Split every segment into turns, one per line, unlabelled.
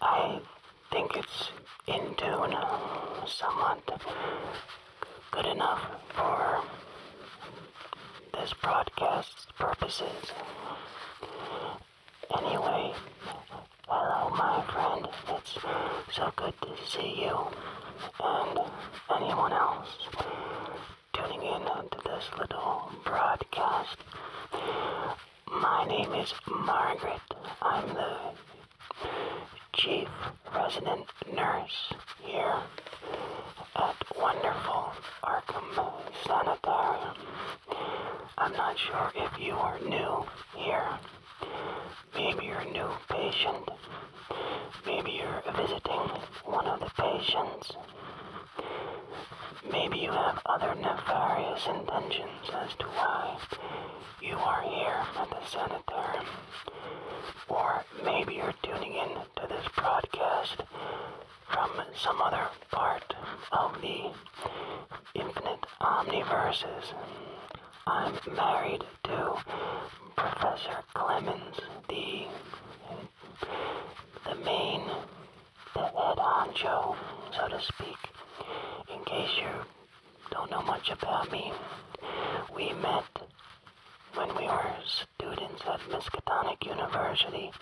I think it's in tune, somewhat good enough for this broadcast's purposes. Anyway, hello my friend, it's so good to see you and anyone else tuning in to this little broadcast. My name is Margaret. I'm the chief resident nurse here at wonderful Arkham Sanitarium. I'm not sure if you are new here. Maybe you're a new patient. Maybe you're visiting one of the patients. Maybe you have other nefarious intentions as to why you are here at the sanitarium. Or maybe you're tuning in to this broadcast from some other part of the infinite omniverses. I'm married to Professor Clemens, the the main, the head honcho, so to speak. In case you don't know much about me, we met when we were students at Miskatonic University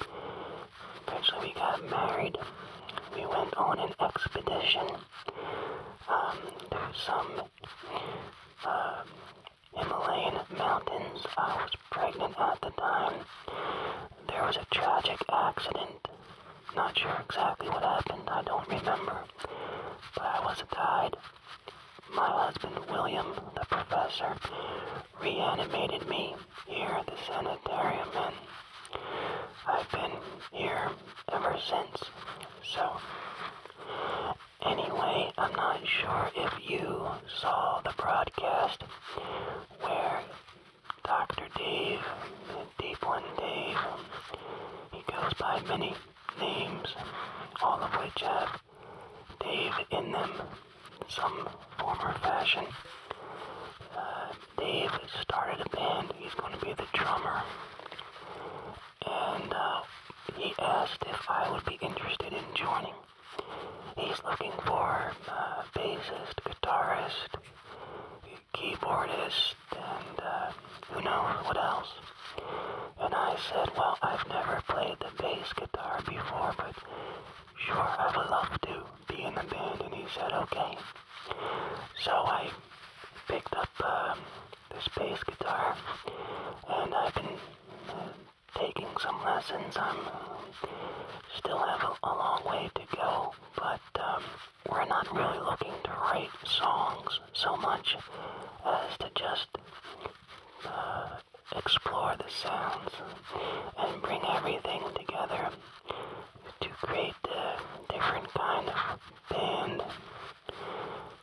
Eventually we got married. We went on an expedition. Um, to some uh, Himalayan mountains. I was pregnant at the time. There was a tragic accident. Not sure exactly what happened. I don't remember. But I was tied. My husband, William, the professor, reanimated me here at the sanitarium, and I've been here ever since. So, anyway, I'm not sure if you saw the broadcast where Dr. Dave, Deep One Dave, he goes by many names, all of which have Dave in them, some form or fashion. Uh, Dave started a band. He's going to be the drummer. And uh, he asked if I would be interested in joining. He's looking for uh, bassist, guitarist, keyboardist, and uh, who knows what else. And I said, well, I've never played the bass guitar before, but sure, I would love to be in the band, and he said, okay. So I picked up um, this bass guitar, and I've been uh, taking some lessons. I'm uh, still have a, long way to go, but um, we're not really looking to write songs so much as to just uh, explore the sounds and bring everything together to create played different kind of band,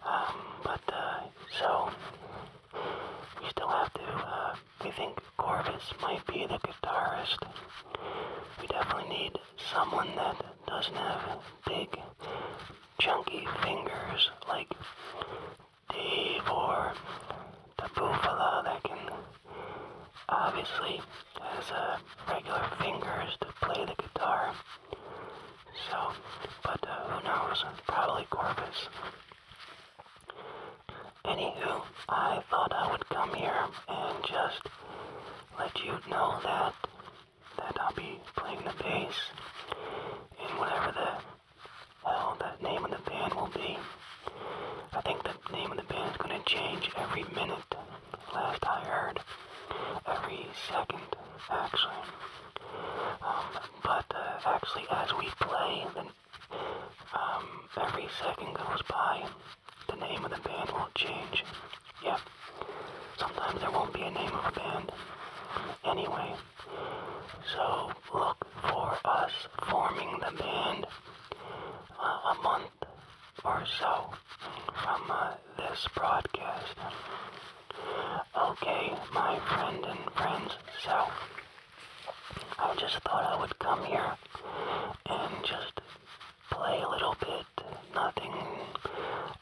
um, but uh, so we still have to. Uh, we think Corvus might be the guitarist. We definitely need someone that doesn't have big, chunky fingers like Dave or the Buffalo that can obviously has uh, regular fingers to play the guitar. So, but uh, who knows? Probably Corpus. Anywho, I thought I would come here and just let you know that that I'll be playing the bass And whatever the hell that name of the band will be. I think the name of the band is going to change every minute Last I heard, every second, actually. Um, but uh, actually, as we play, then um, every second goes by, the name of the band will not change. Yeah. Sometimes there won't be a name of a band. Anyway, so look for us forming the band uh, a month or so from uh, this broadcast. Okay, my friend and friends, so I just thought I would come here and just play a little bit. Nothing,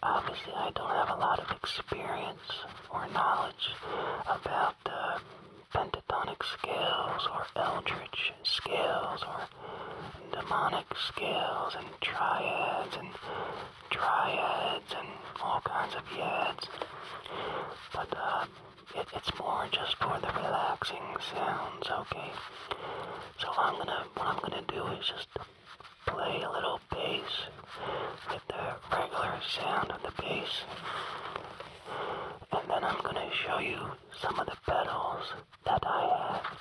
obviously, I don't have a lot of experience or knowledge about uh, pentatonic scales or eldritch witch or demonic skills and triads and triads and all kinds of yads. But uh, it's more just for the relaxing sounds, okay? So I'm gonna, what I'm gonna do is just play a little bass with the regular sound of the bass. And then I'm gonna show you some of the pedals that I have,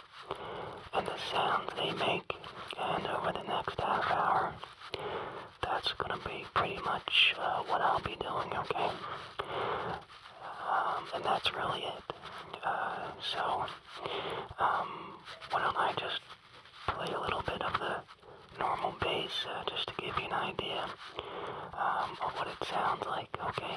and the sounds they make, and over the next half hour, that's gonna be pretty much uh, what I'll be doing, okay? Um, and that's really it. Uh, so, um, why don't I just play a little bit of the normal bass uh, just to give you an idea um, of what it sounds like, okay?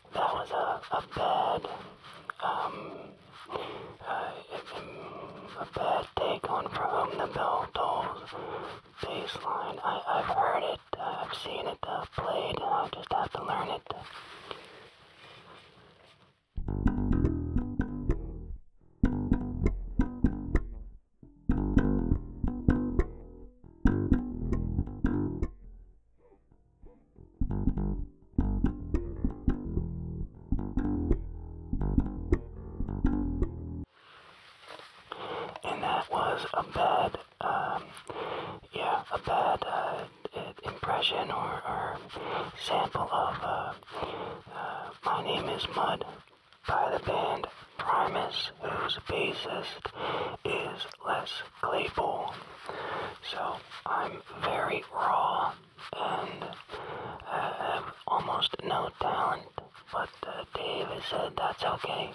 that was a, a bad, um, uh, a bad take on For the Bell Tolls I, I've heard it, I've seen it uh, played, I just have to learn it. And that was a bad, um, yeah, a bad uh, impression or, sample of uh, uh, My Name is Mud by the band Primus, whose bassist is Les Claypool. So I'm very raw and I um, have almost no talent. But uh, Dave has said that's okay.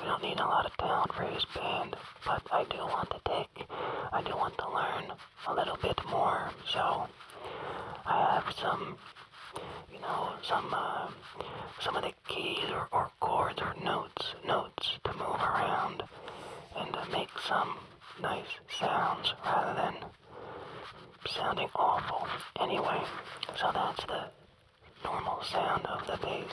We don't need a lot of talent for his band, but I do want to take, I do want to learn a little bit more. So I have some, you know, some uh, some of the keys or, or chords or notes, notes to move around and to make some nice sounds rather than sounding awful. Anyway, so that's the normal
sound of the bass.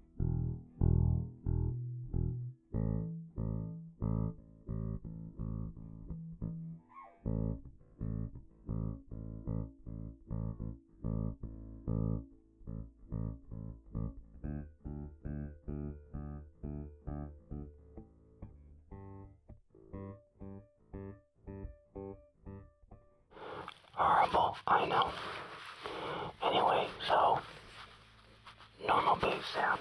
Horrible, I know. Anyway, so normal bass sound.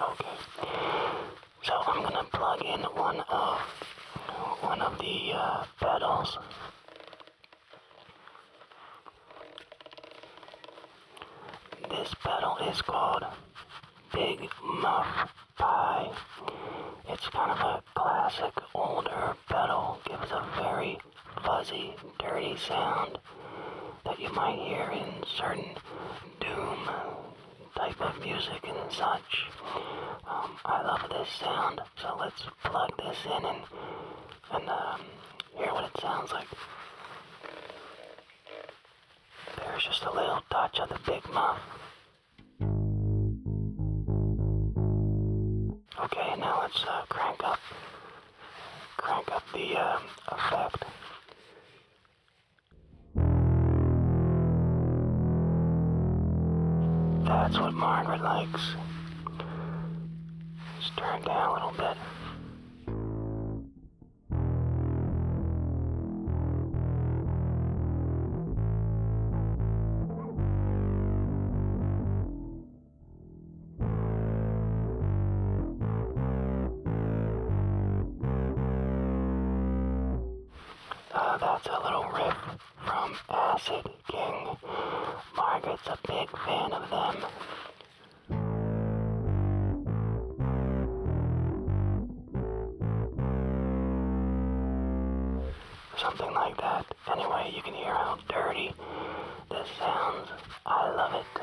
Okay. So I'm gonna plug in one of one of the uh, pedals. This pedal is called Big Muff Pie. It's kind of a classic older pedal. Gives a very fuzzy, dirty sound that you might hear in certain doom type of music and such. Um, I love this sound, so let's plug this in and, and um, hear what it sounds like. There's just a little touch on the Big
Muff. Okay, now let's uh, crank up, crank up the um, effect. That's what Margaret likes. Just turn down a little bit.
Uh, that's a little riff
from Acid King. Margaret's a big fan of them. Something like that. Anyway, you can hear how dirty this sounds. I love it.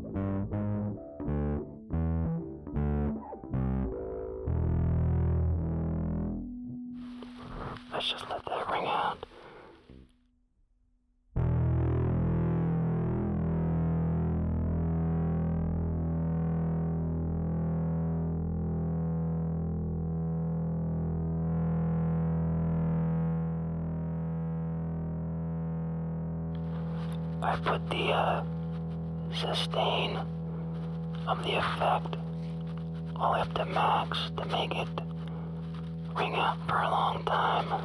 Let's just let that ring out. I put the uh,
sustain of the effect all the up
to max to make it ring out for a long time.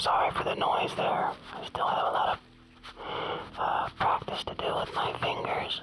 Sorry for the noise there. I still have a lot of uh, practice to do with my
fingers.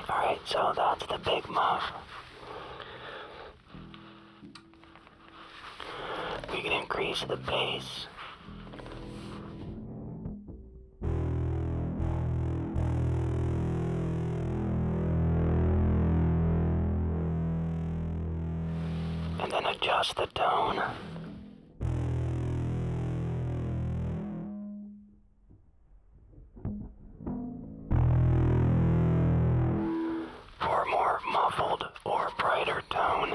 Alright, so that's the big move. We can increase the pace. And then adjust the tone. For more muffled or brighter tone.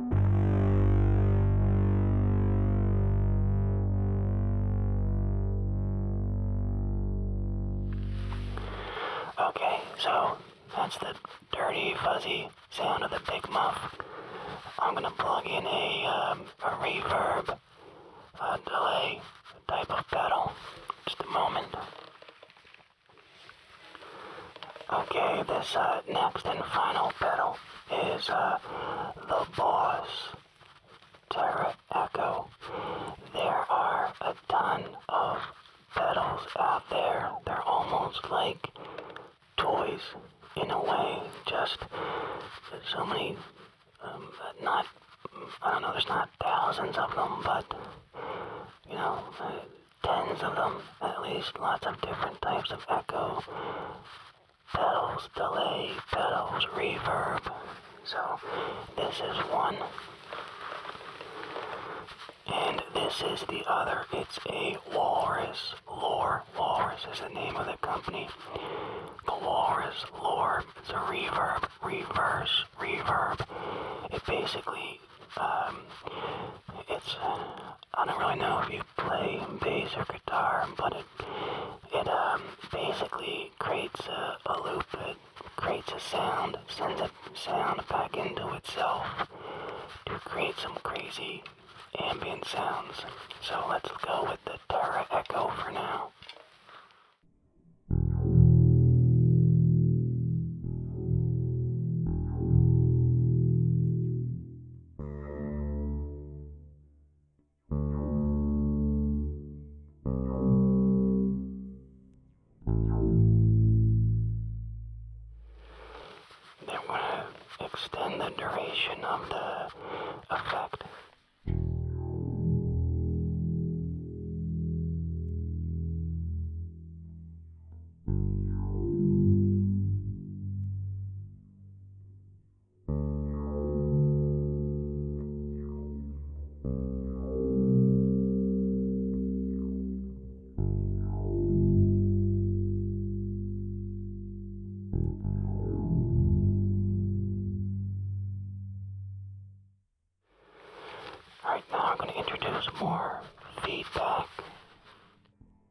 Okay, so that's the dirty, fuzzy sound
of the big muff. I'm gonna plug in a, um, a reverb, a delay type of pedal. Just a moment. Okay, this uh, next and final pedal is uh, the boss, Terra Echo. There are a ton of pedals out there. They're almost like toys in a way. Just so many, um, not, I don't know, there's not thousands of them, but, you know, uh, tens of them at least. Lots of different types of echo pedals, delay, pedals, reverb. So this is one. And this is the other. It's a Walrus Lore. Walrus is the name of the company. The Walrus Lore. It's a reverb, reverse, reverb. It basically, um, it's, I don't really know Play bass or guitar, but it, it um, basically creates a, loop. It creates a sound, sends a sound back into itself to create some crazy ambient sounds.
So let's go with the Tara Echo for now. They want to extend the duration of the effect. Right now, I'm going to introduce more feedback.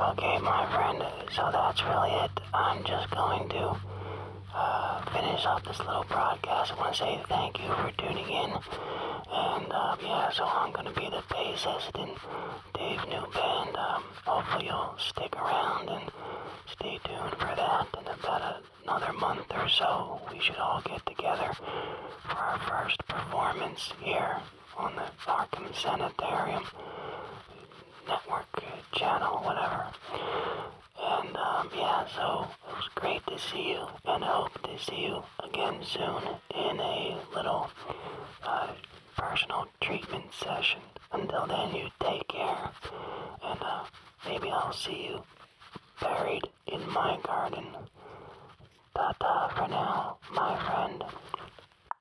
Okay, my friend, so that's really it.
I'm just going to uh, finish up this little broadcast. I want to say thank you for tuning in. And uh, yeah, so I'm going to be the face, assistant, Dave Newband. Um, hopefully, you'll stick around and stay tuned for that. In about another month or so, we should all get together for our first performance here on the Arkham Sanitarium network uh, channel, whatever. And um, yeah, so it was great to see you, and I hope to see you again soon in a little uh, personal treatment session. Until then, you take care, and uh, maybe I'll see you buried in my garden. Ta-ta for now, my friend.